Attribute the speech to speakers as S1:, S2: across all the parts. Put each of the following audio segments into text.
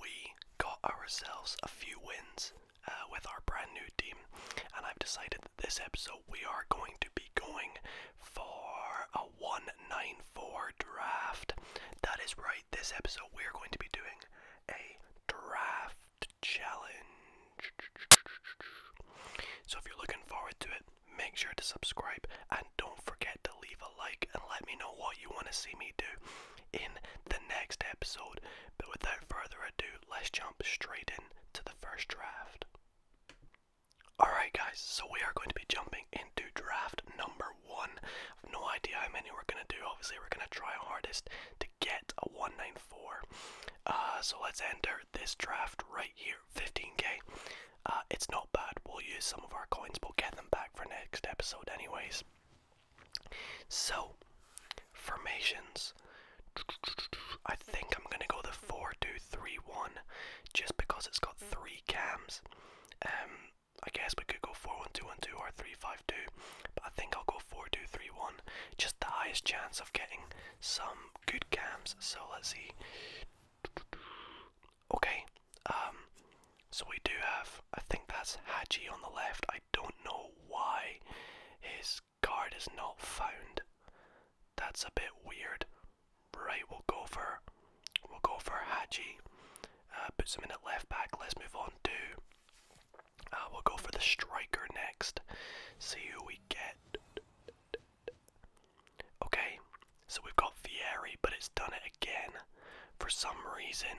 S1: we got ourselves a few wins uh, with our brand new team, and I've decided that this episode we are going to be going for a 194 draft. That is right, this episode we are going to be doing a draft challenge. So if you're looking forward to it, make sure to subscribe and don't forget to leave a like and let me know what you want to see me do in the next episode. But without further ado, let's jump straight into the first draft. Alright, guys, so we are going to be jumping into draft number one. no idea how many we're going to do. Obviously, we're going to try our hardest to get a 194. Uh, so let's enter this draft right here 15k. Uh, it's not bad. We'll use some of our coins, we'll get them back for next episode, anyways. So, formations. I think I'm gonna go the four-two-three-one, just because it's got three cams. Um, I guess we could go four-one-two-one-two or three-five-two, but I think I'll go four-two-three-one. Just the highest chance of getting some good cams. So let's see. Okay. Um. So we do have. I think that's Hadji on the left. I don't know why his card is not found. That's a bit weird. Right, we'll go for we'll go for Haji. Uh, him in at left back. Let's move on to. Uh, we'll go for the striker next. See who we get. Okay, so we've got Vieri, but it's done it again. For some reason,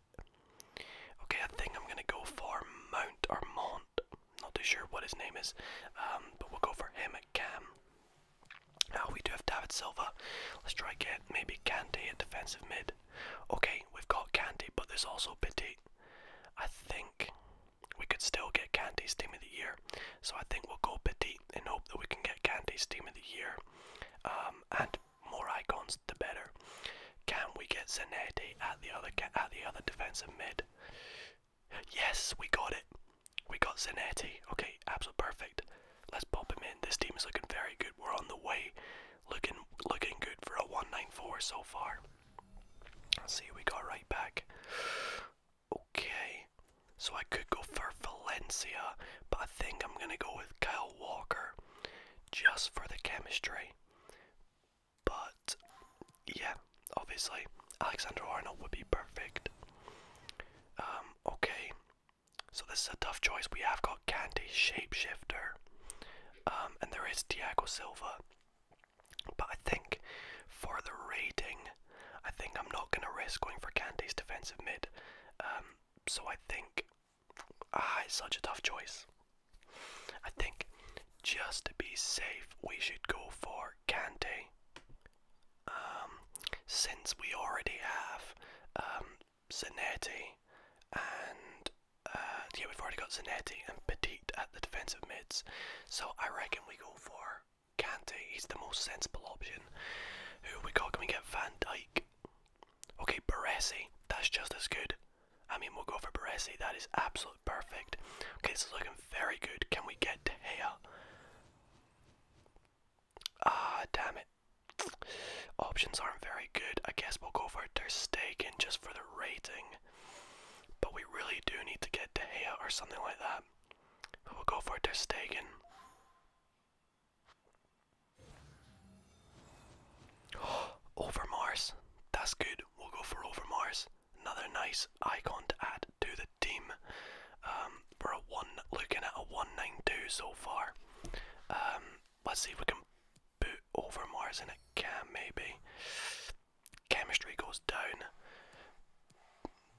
S1: Okay, I think I'm gonna go for Mount or Mont. Not too sure what his name is, um, but we'll go for him again. Now we do have David Silva. Let's try get maybe Kante in defensive mid. Okay, we've got Kante, but there's also Petit. I think we could still get Kante's team of the year, so I think we'll go Petit and hope that we can get Kante's team of the year. Um, and more icons, the better. Can we get Zanetti at the other at the other defensive mid? Yes, we got it. We got Zanetti. Okay, absolute perfect. Let's pop him in. This team is looking very good. We're on the way. Looking looking good for a 194 so far. Let's see we got right back. Okay. So I could go for Valencia, but I think I'm gonna go with Kyle Walker just for the chemistry. But yeah, obviously Alexander Arnold would be perfect. Um, okay, so this is a tough choice. We have got Candy Shapeshifter, um, and there is Diego Silva. But I think for the rating, I think I'm not going to risk going for Candy's defensive mid. Um, so I think Ah, such a tough choice. I think just to be safe, we should go for Kante. Um, since we already have um, Zanetti and uh, yeah, we've already got Zanetti and Petit at the defensive mids, so I reckon we go for Kante. He's the most sensible option. Who we got? Can we get Van Dyke? Okay, Baresi, that's just as good. I mean, we'll go for Baresi. That is absolutely perfect. Okay, this is looking very good. Can we get De Gea? Ah, damn it. Options aren't very good. I guess we'll go for Ter Stegen just for the rating. But we really do need to get De Gea or something like that. We'll go for Ter Stegen. Over Mars. That's good. We'll go for Over Mars. Another nice icon to add to the team. Um, we're one, looking at a 192 so far. Um, let's see if we can put Over Mars in a cam, maybe. Chemistry goes down.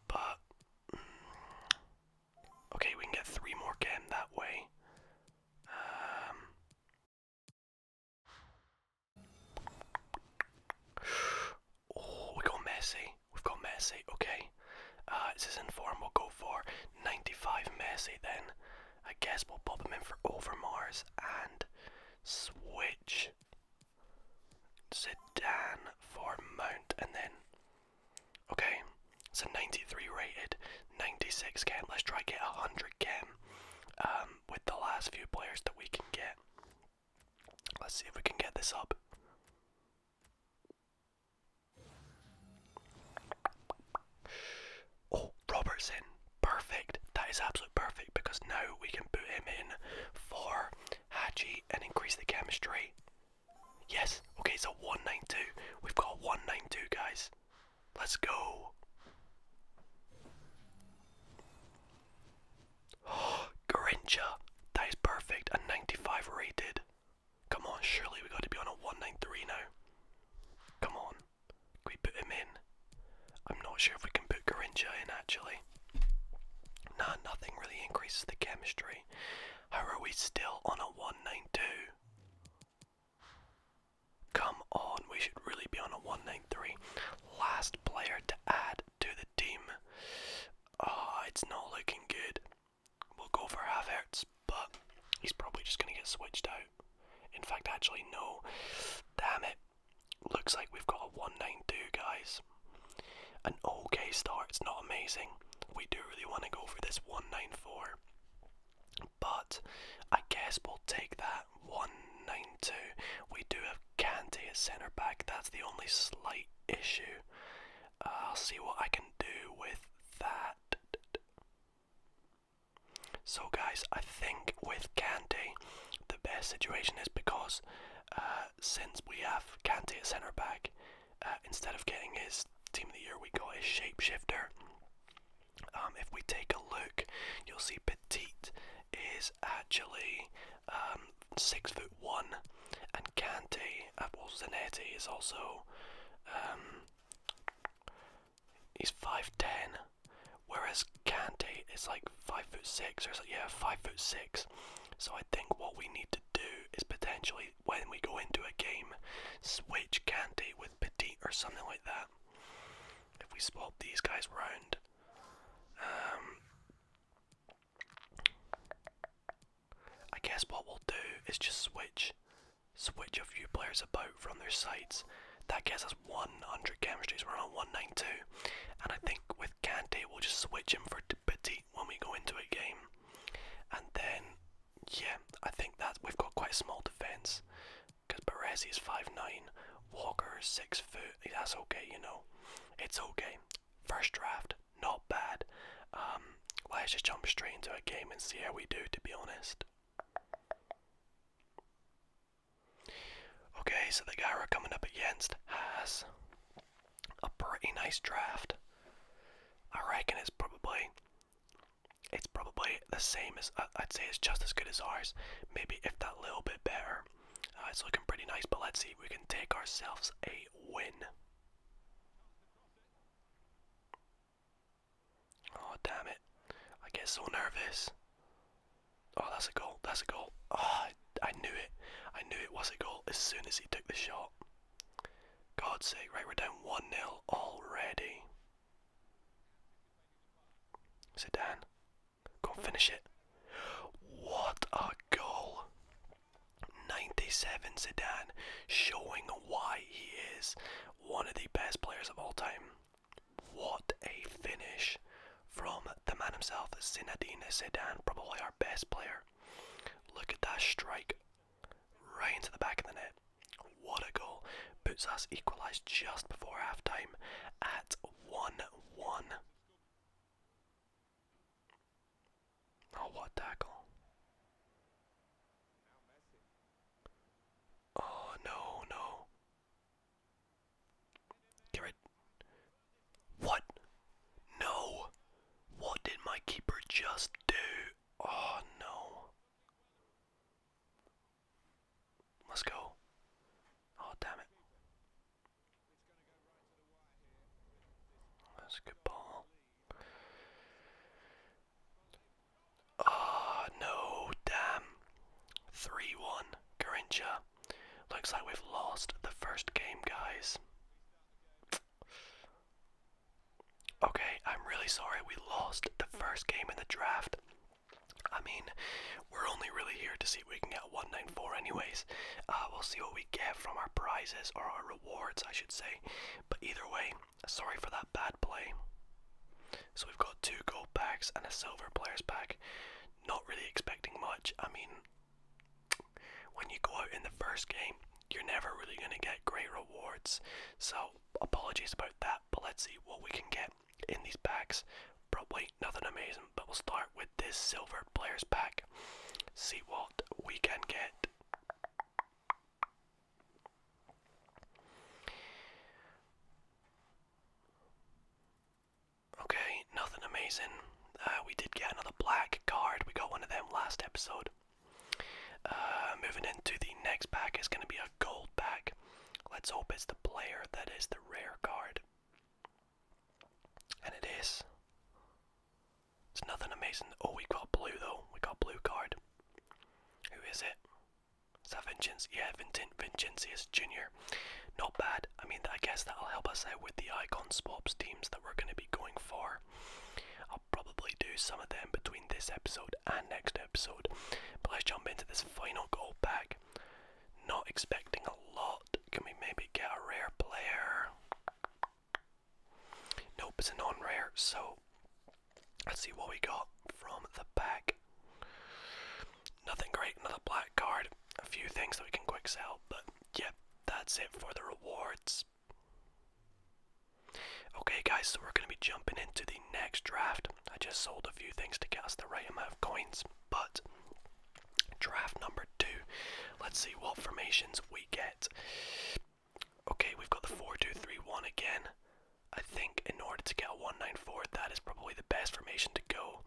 S1: But. Mm, okay, we can get three more chem that way. Um, oh, we got Messi. We've got Messi. Okay. Uh, it's his inform. We'll go for 95 Messi then. I guess we'll pop them in for Overmars and switch Zidane for Mount and then Okay, so 93 rated, 96 can. Let's try get 100 can um, with the last few players that we can get. Let's see if we can get this up. Oh, Robertson. Perfect. That is absolute perfect because now we can put him in for Haji and increase the chemistry. Yes. Okay, so 192. We've got 192, guys. Let's go. Oh, That is perfect. A 95 rated. Come on, surely we got to be on a 193 now. Come on. we put him in? I'm not sure if we can put Garincha in actually. Nah, nothing really increases the chemistry. How are we still on a 192? Come on, we should really be on a 193. Last player to add to the team. Ah, it's not looking good. We'll go for Havertz, but he's probably just going to get switched out. In fact, actually, no. Damn it. Looks like we've got a 192, guys. An okay start. It's not amazing. We do really want to go for this 194 but I guess we'll take that 192. We do have Kante at centre back, that's the only slight issue. I'll see what I can do with that. So, guys, I think with Kante, the best situation is because uh, since we have Kante at centre back, uh, instead of getting his team of the year, we got his shapeshifter. Um, if we take a look, you'll see Petit is actually um, six foot one, and Cante uh, well Zanetti is also um, he's five ten, whereas Cante is like five foot six or yeah five foot six. So I think what we need to do is potentially when we go into a game, switch Cante with Petit or something like that. If we swap these guys around, um, I guess what we'll do is just switch switch a few players about from their sites. That gets us 100 chemistries. We're on 192. And I think with Kante, we'll just switch him for Petit when we go into a game. And then yeah, I think that we've got quite a small defence because Baresi is nine, Walker is 6 foot. That's okay, you know. It's okay. First draft, not bad. Um, not us just jump straight into a game and see how we do, to be honest. Okay, so the guy we're coming up against has a pretty nice draft. I reckon it's probably it's probably the same as uh, I'd say it's just as good as ours. Maybe if that little bit better. Uh, it's looking pretty nice, but let's see if we can take ourselves a win. Oh damn it! I get so nervous. Oh, that's a goal. That's a goal. Oh, I knew it. I knew it was a goal as soon as he took the shot. God's sake! Right, we're down one 0 already. Zidane. Go and finish it. What a goal! 97 Zidane showing why he is one of the best players of all time. What a finish from the man himself, Zinedine Zidane, probably our best player. Look at that strike right into the back of the net. What a goal. Bootsas equalised just before half time at 1 1. Oh, what tackle. Oh, no, no. Get What? No! What did my keeper just do? Oh, no. Let's go. Oh, damn it. That's a good ball. Ah, no, damn. 3 1, Garincha. Looks like we've lost the first game, guys. Okay, I'm really sorry we lost the first game in the draft. I mean, we're only really here to see if we can get 194 anyways. Uh, we'll see what we get from our prizes, or our rewards, I should say. But either way, sorry for that bad play. So we've got two gold packs and a silver players pack. Not really expecting much. I mean, when you go out in the first game, you're never really going to get great rewards. So apologies about that, but let's see what we can get in these packs. Probably nothing amazing, but we'll start with this silver players pack. See what we can get. Okay, nothing amazing. Uh, we did get another black card. We got one of them last episode. Uh, moving into the next pack is going to be a gold back. Let's hope it's the player that is the rare card. And it is. It's nothing amazing. Oh, we got blue though. We got blue card. Who is it? that Yeah, Vincent Vincentius Jr. Not bad. I mean, I guess that'll help us out with the icon swaps teams that we're going to be going for. I'll probably do some of them between this episode and next episode. But let's jump into this final gold pack. Not expecting a lot. Can we maybe get a rare player? Nope, it's a non rare. So let's see what we got from the pack. Nothing great, another black card. A few things that we can quick sell, but yep, that's it for the rewards. Okay, guys, so we're going to be jumping into the next draft. I just sold a few things to get the right amount of coins, but draft number two. Let's see what formations we get. Okay, we've got the 4 2 3 1 again. I think in order to get a 194, that is probably the best formation to go.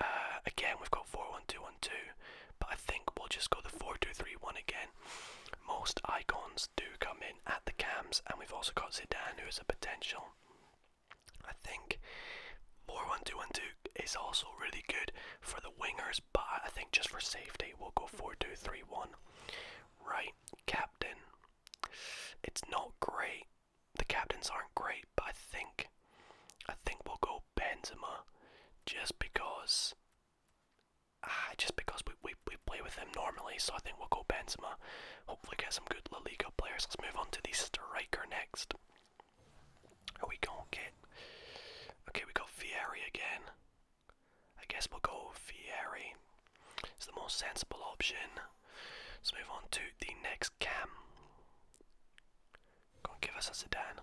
S1: Uh, again, we've got 4 1 2 1 2, but I think we'll just go the 4 2 3 1 again. Most icons do come in at the cams, and we've also got Zidane, who is a potential. I think more one two one two is also really good for the wingers, but I think just for safety, we'll go four two three one. Right, captain. It's not great. The captains aren't great, but I think, I think we'll go Benzema, just because. Ah, just because we, we, we play with him normally, so I think we'll go Benzema hopefully get some good La Liga players. Let's move on to the striker next. Who we gonna get? Okay, we got Fieri again. I guess we'll go Fieri. It's the more sensible option. Let's move on to the next cam. Gonna give us a sedan.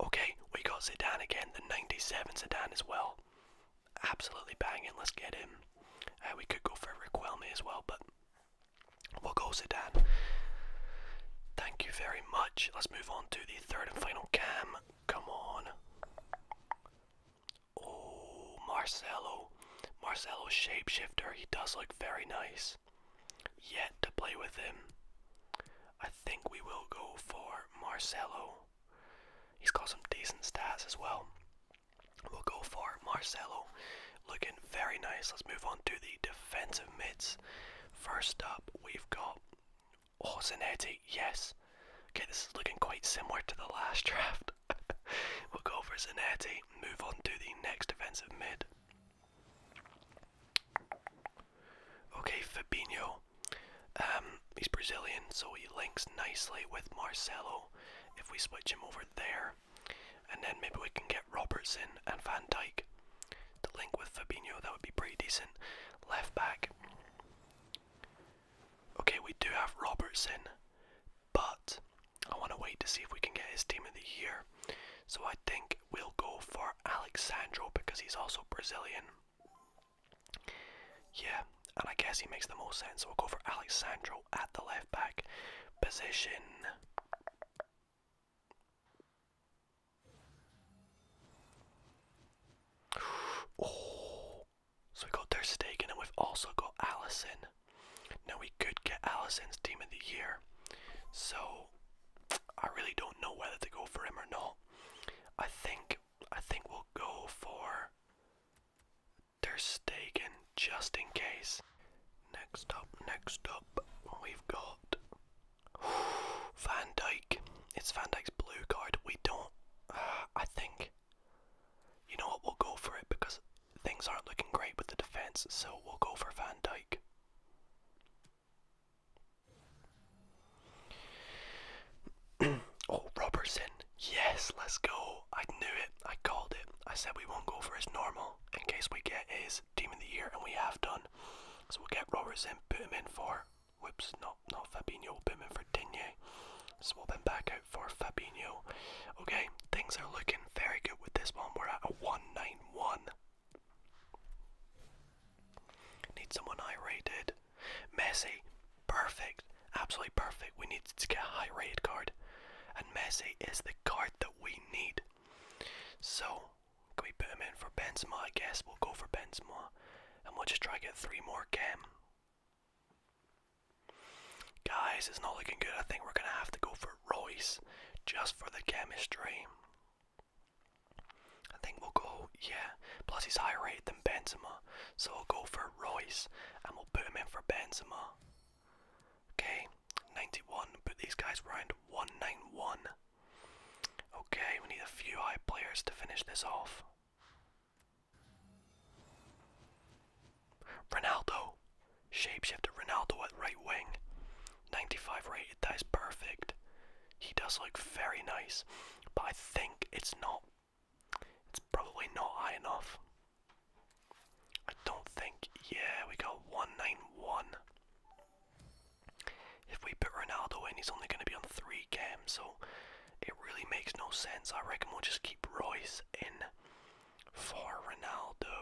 S1: Okay, we got sedan again, the 97 sedan as well absolutely banging. Let's get him. Uh, we could go for Riquelme as well, but we'll go Zidane. Thank you very much. Let's move on to the third and final cam. Come on. Oh, Marcelo. Marcelo shapeshifter. He does look very nice. Yet to play with him. I think we will go for Marcelo. He's got some decent stats as well. We'll go for Marcelo, looking very nice. Let's move on to the defensive mids. First up, we've got oh, Yes. Okay, this is looking quite similar to the last draft. we'll go for Zanetti. Move on to the next defensive mid. Okay, Fabinho. Um, he's Brazilian, so he links nicely with Marcelo if we switch him over there. And then maybe we can get Robertson and Van Dyke to link with Fabinho. That would be pretty decent. Left back. Okay, we do have Robertson, but I want to wait to see if we can get his team of the year. So I think we'll go for Alexandro because he's also Brazilian. Yeah, and I guess he makes the most sense. we'll go for Alexandro at the left back position. so we got Der Stegen and we've also got Allison. Now we could get Allison's team of the year. So I really don't know whether to go for him or not. I think I think we'll go for they're staking just in case. Next up, next up, we've got Van Dyke. It's Van Dyke's blue card. We don't. I think. You know what? We'll go for it because things aren't looking great with the defense, so we'll go for Van Dyke. oh, Robertson. Yes, let's go. I knew it. I called it. I said we won't go for his normal in case we get his team of the year, and we have done. So we'll get Robertson, put him in for. Whoops, not not Fabinho. will put him in for Digne. Swap him back out for Fabio. Okay, things are looking very good with this one. We're at a 191. Need someone I Messi, perfect, absolutely perfect. We need to get a high rated card, and Messi is the card that we need. So, can we put him in for Benzema? I guess we'll go for Benzema, and we'll just try to get three more Cam. Guys, it's not looking good. I think we're gonna have to go for Royce just for the chemistry. I think we'll go, yeah. Plus, he's high rated. Benzema. So I'll go for Royce and we'll put him in for Benzema. Okay, 91. Put these guys round 191. Okay, we need a few high players to finish this off. Ronaldo. shape Shapeshifter Ronaldo at right wing. 95 Right, that is perfect. He does look very nice, but I think it's not it's probably not high enough. I don't think. Yeah, we got 191. If we put Ronaldo in, he's only going to be on 3 games, so it really makes no sense. I reckon we'll just keep Royce in for Ronaldo.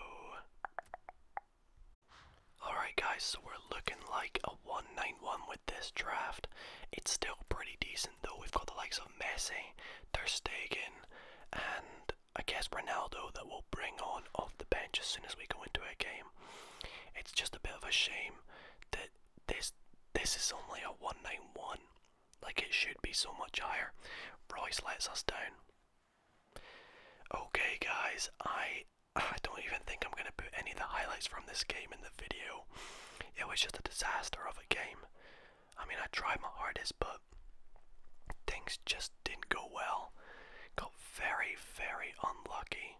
S1: Alright, guys, so we're looking like a 191 with this draft. It's still pretty decent, though. We've got the likes of Messi, Ter Stegen, and I guess Ronaldo that we'll bring on off the bench as soon as we go into a game. It's just a bit of a shame that this this is only a 191. Like it should be so much higher. Royce lets us down. Okay guys, I I don't even think I'm gonna put any of the highlights from this game in the video. It was just a disaster of a game. I mean, I tried my hardest, but things just didn't go well. Got very, very unlucky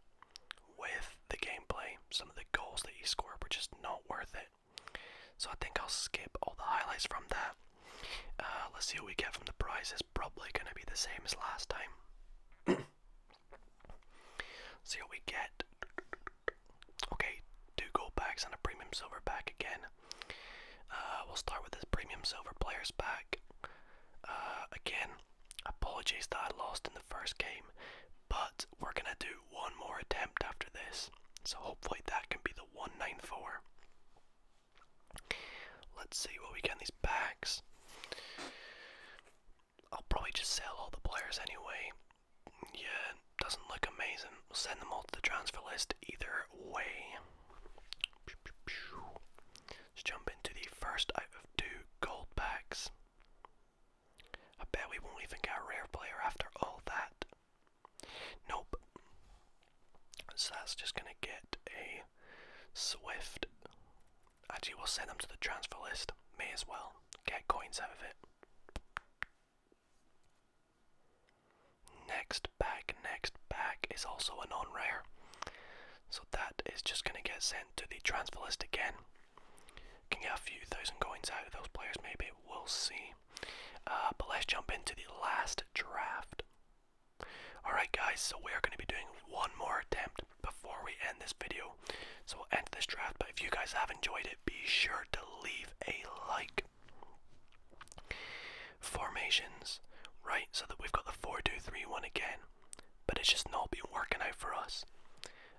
S1: with the gameplay. Some of the goals that he scored were just not worth it. So I think I'll skip all the highlights from that. Uh, let's see what we get from the prize. Is Probably going to be the same as last time. see what we get. Okay, two gold packs and a premium silver pack again. Uh, we'll start with this premium silver players pack. Uh, again, apologies that I lost in the first game, but we're gonna do one more attempt after this, so hopefully that can be the 194. Let's see what we get these packs. I'll probably just sell all the players anyway yeah, doesn't look amazing. We'll send them all to the transfer list either way. Let's jump into the first out of two gold packs. I bet we won't even get a rare player after all that. Nope. So just gonna get a Swift. Actually, we'll send them to the transfer list. May as well. Get coins out of it. Next back, next back is also a non rare. So that is just going to get sent to the transfer list again. Can get a few thousand coins out of those players, maybe. We'll see. Uh, but let's jump into the last draft. Alright, guys, so we're going to be doing one more attempt before we end this video. So we'll end this draft. But if you guys have enjoyed it, be sure to leave a like. Formations, right? So that we've got the 4 2 3 1 again, but it's just not been working out for us.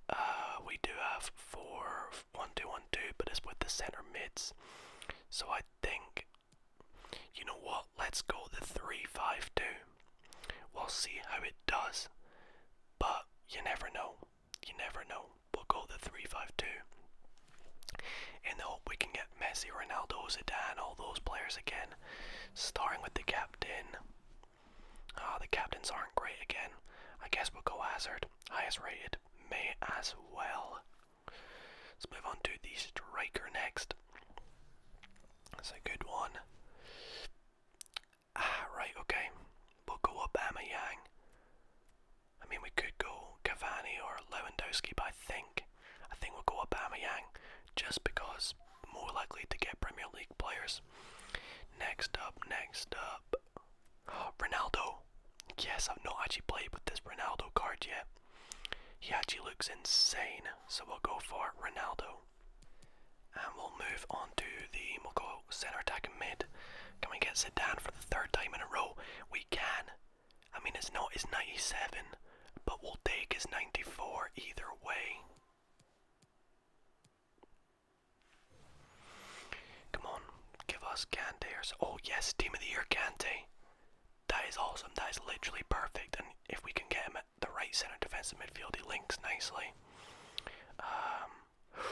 S1: Uh, we do have 4 1 2 1 2, but it's with the centre mids. So I think, you know what? Let's go the 3 5 2. We'll see how it does, but you never know you never know. We'll go the three-five-two, in the hope we can get Messi, Ronaldo, Zidane, all those players again. Starting with the captain. Ah, the captains aren't great again. I guess we'll go Hazard, highest rated, may as well. Let's move on to the striker next. That's a good one. Ah, right, okay. We'll go Obama Yang. I mean, we could go Cavani or Lewandowski, but I think I think we'll go Aubameyang just because more likely to get Premier League players. Next up, next up, Ronaldo. Yes, I've not actually played with this Ronaldo card yet. He actually looks insane, so we'll go for Ronaldo. And we'll move on to the we'll go centre attack and mid. Can we get Zidane for the third time in a row? We can. I mean, it's not his 97, but we'll take his 94 either way. Come on, give us Kante Oh, yes, Team of the Year Kante. That is awesome. That is literally perfect. And if we can get him at the right centre defensive midfield, he links nicely. Um,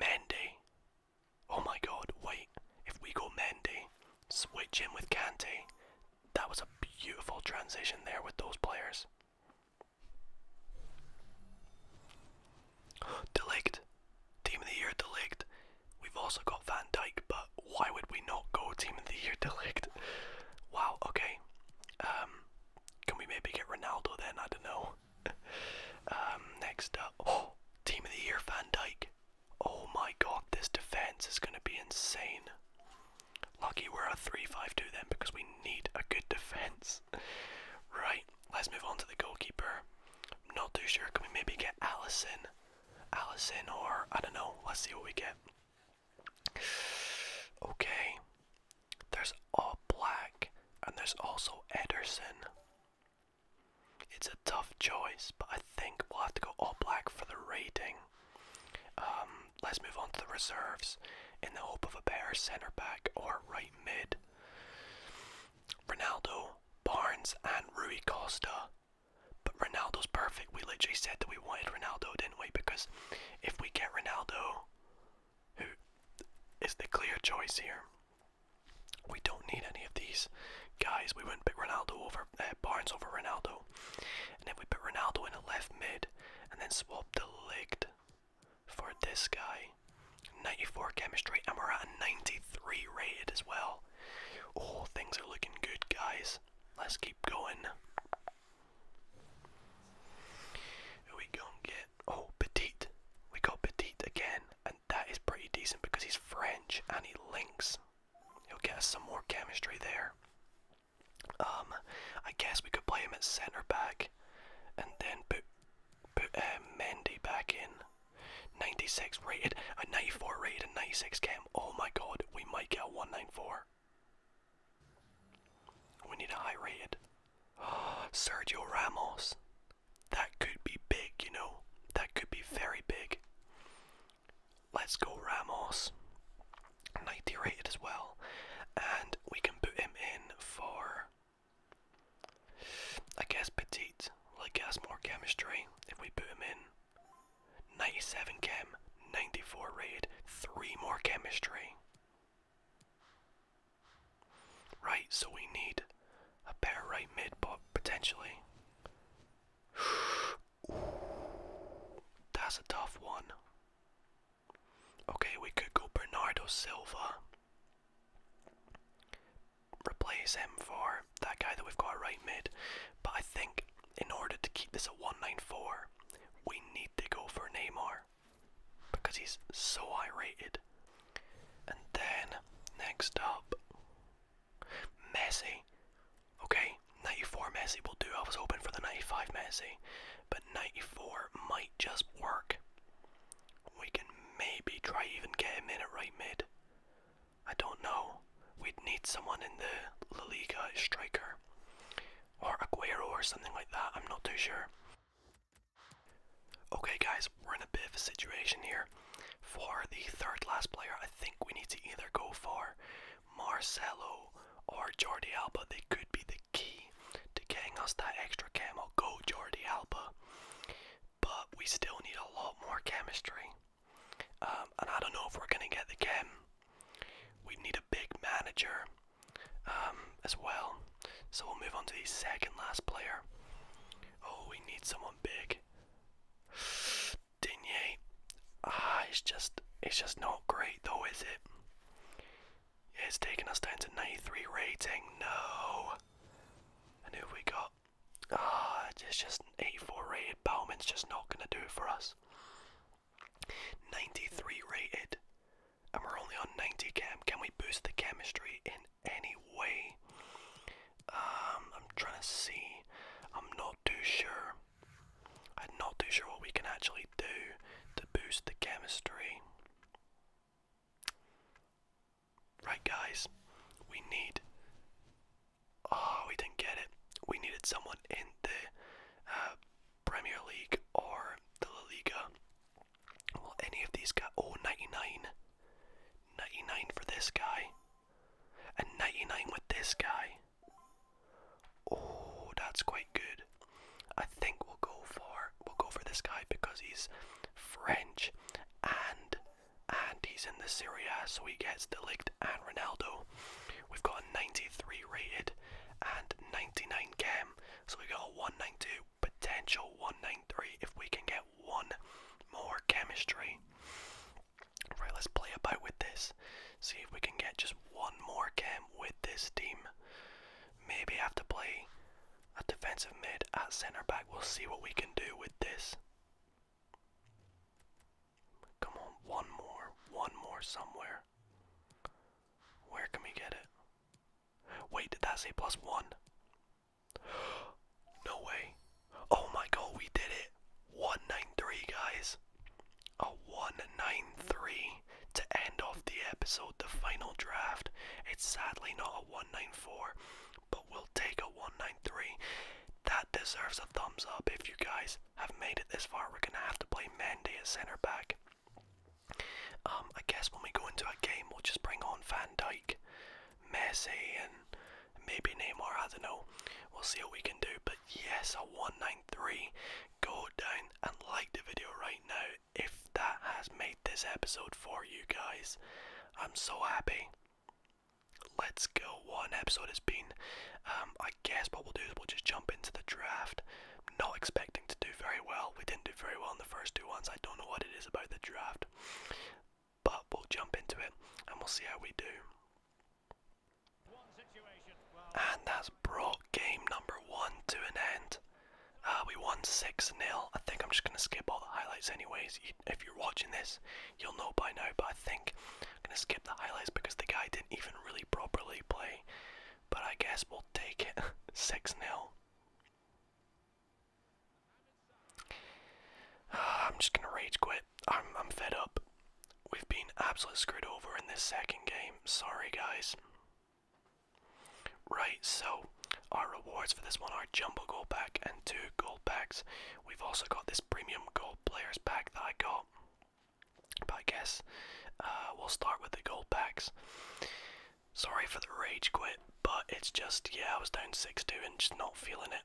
S1: Mendy. Oh my god, wait. If we go Mendy, switch him with Kante. That was a beautiful transition there with those players. Delict. Team of the Year Delict. We've also got Van Dijk, but why would we not go Team of the Year Delict? Wow, okay. Um, can we maybe get Ronaldo then? I don't know. um, next up, oh, team of the year, Van Dyke. Oh my God, this defense is going to be insane. Lucky we're a three-five-two then, because we need a good defense. right, let's move on to the goalkeeper. not too sure. Can we maybe get Allison? Allison, or I don't know. Let's see what we get. Okay, there's all black, and there's also Ederson. It's a tough choice, but I think we'll have to go all black for the rating. Um, let's move on to the reserves in the hope of a better centre back or right mid. Ronaldo, Barnes, and Rui Costa. But Ronaldo's perfect. We literally said that we wanted Ronaldo, didn't we? Because if we get Ronaldo, who is the clear choice here, we don't need any of these guys. We wouldn't pick Ronaldo over uh, Barnes over Ronaldo, and then we put Ronaldo in a left mid and then swap the leg for this guy, 94 chemistry, and we're at a 93 rated as well. Oh, things are looking good, guys. Let's keep going. Who we gonna get? Oh, Petit. We got Petit again that is pretty decent because he's French and he links. He'll get us some more chemistry there. Um, I guess we could play him at centre back, and then put put uh, back in. 96 rated, a 94 rated, a 96 cam. Oh my god, we might get a 194. We need a high rated. Sergio Ramos. That could be big, you know? That could be very big. Let's go Ramos. 90 as well. And we can put him in for, I guess, Petite. Like, has more chemistry if we put him in. 97 chem, 94 raid, 3 more chemistry. Right, so we need a better right mid, but potentially. that's a tough one. Okay, we could go Bernardo Silva. Replace him for that guy that we've got right mid. But I think in order to keep this at 194, we need to go for Neymar. Because he's so high rated. And then next up, Messi. Okay, 94 Messi will do. I was hoping for the 95 Messi, but 94 might just work. We can maybe try even get him in at right mid. I don't know. We'd need someone in the La Liga striker or Aguero or something like that. I'm not too sure. Okay, guys, we're in a bit of a situation here. For the third last player, I think we need to either go for Marcelo or Jordi Alba. They could be the key to getting us that extra camo. Go, Jordi Alba. But we still need a lot more chemistry. Um, and I don't know if we're going to get the chem. We need a big manager um, as well. So we'll move on to the second last player. Oh, we need someone big like Digne. Ah, it's just it's just not great though, is it? It's taken us down to 93 rating. No. And who we got? Ah, it's just an 84 rated. Bauman's just not gonna do it for us. 93 rated, and we're only on 90 chem. Can we boost the chemistry in anyway. Um, I'm trying to see. I'm not too sure. I'm not too sure what we can actually do to boost the chemistry. Right, guys, we need. Oh, we didn't get it. We needed someone in the uh, Premier League or the La Liga. Well, any of these got Oh, 99. 99 for this guy. And 99 with this guy. Oh, that's quite good. I think we'll go for we'll go for this guy because he's French and and he's in the Syria, so he gets Delict and Ronaldo. We've got a 93 rated and 99 gem, so we got a 192 potential 193 if we can get one more chemistry. Right, let's play about with this. See if we can get just one more chem with this team. Maybe have to play a defensive mid at centre back. We'll see what we can do with this. Come on, one more, one more somewhere. Where can we get it? Wait, did that say plus one? No way. Oh my god, we did it. 193, guys. A 193 to end off the episode, the final draft. It's sadly not a 194, but we'll take a 193. That deserves a thumbs up if you guys have made it this far. We're going to have to play Mendy at centre back. Um, I guess when we go into a game, we'll just bring on Van Dyke. Messi and maybe Neymar, I don't know. We'll see what we can do. But yes, a 193. Go down and like the video right now if that has made this episode for you guys. I'm so happy. Let's go. One episode has been. Um, I guess what we'll do is we'll just jump into the draft. Not expecting to do very well. We didn't do very well in the first two ones. I don't know what it is about the draft but we'll jump into it and we'll see how we do. And that's brought game number one to an end. Uh, we won 6 0. I think I'm just going to skip all the highlights, anyways. If you're watching this, you'll know by now, but I think I'm going to skip the highlights because the guy didn't even really properly play. But I guess we'll take 6 0. I'm just gonna rage quit. I'm I'm fed up. We've been absolutely screwed over in this second game. Sorry guys. Right, so our rewards for this one are jumbo gold pack and two gold packs. We've also got this premium gold players pack that I got. But I guess uh, we'll start with the gold packs. Sorry for the rage quit, but it's just yeah, I was down six two and just not feeling it.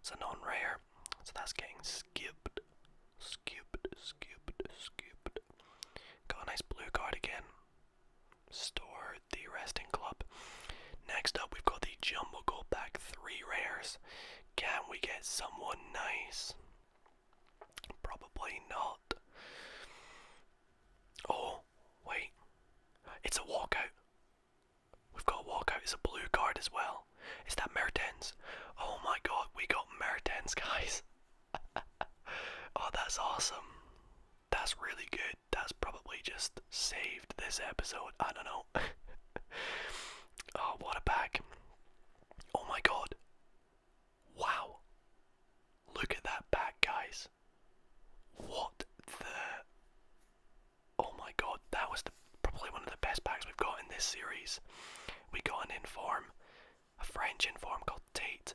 S1: It's a non-rare, so that's getting skipped. Skipped, skipped, skipped. Got a nice blue card again. Store the resting club. Next up, we've got the jumbo gold pack, three rares. Can we get someone nice? Probably not. Oh, wait. It's a walkout. We've got a walkout. It's a blue card as well hell? Is that Mertens? Oh my god, we got Mertens, guys. oh, that's awesome. That's really good. That's probably just saved this episode. I don't know. oh, what a pack. Oh my god. Wow. Look at that pack, guys. What the. Oh my god, that was the probably one of the best bags we've got in this series. We got an inform, a French inform called Tate.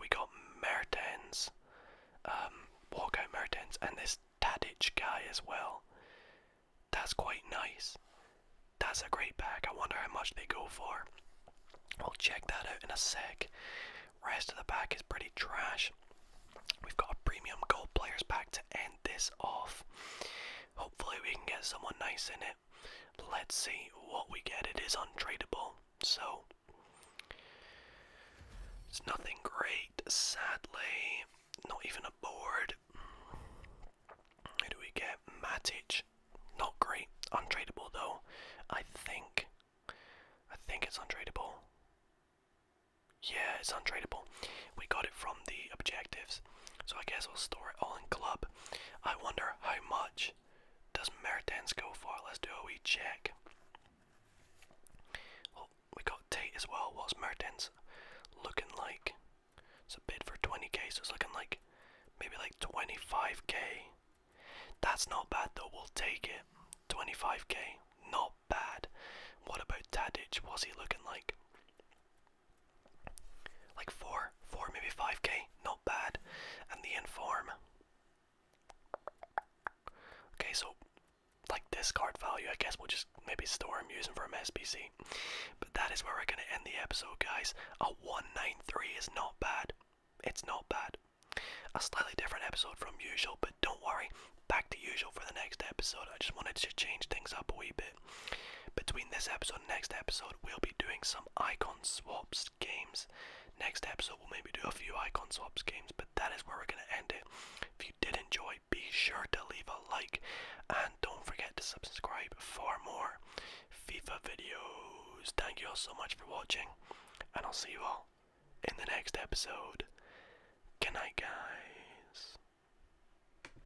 S1: We got Mertens, um, walkout Mertens, and this Tadic guy as well. That's quite nice. That's a great bag. I wonder how much they go for. we will check that out in a sec. Rest of the pack is pretty trash. We've got a premium gold players pack to end this off. Hopefully we can get someone nice in it. Let's see what we get. It is untradeable, so it's nothing great, sadly. Not even a board. Who do we get? Matic. Not great. Untradeable though. I think. I think it's untradeable. Yeah, it's untradeable. We got it from the objectives. So I guess we will store it all in club. I wonder how much does Mertens go for? Let's do a wee check. Well, we got Tate as well. What's Mertens looking like? It's a bid for 20k, so it's looking like maybe like 25k. That's not bad though, we'll take it. 25k, not bad. What about Tadic? What's he looking like? Like four, four, maybe five K, not bad. And the inform. Okay, so like discard value, I guess we'll just maybe store I'm using from SPC. But that is where we're gonna end the episode, guys. A 193 is not bad. It's not bad. A slightly different episode from usual, but don't worry, back to usual for the next episode. I just wanted to change things up a wee bit. Between this episode and next episode, we'll be doing some icon swaps games. Next episode, we'll maybe do a few icon swaps games, but that is where we're going to end it. If you did enjoy, be sure to leave a like and don't forget to subscribe for more FIFA videos. Thank you all so much for watching, and I'll see you all in the next episode. Good night, guys.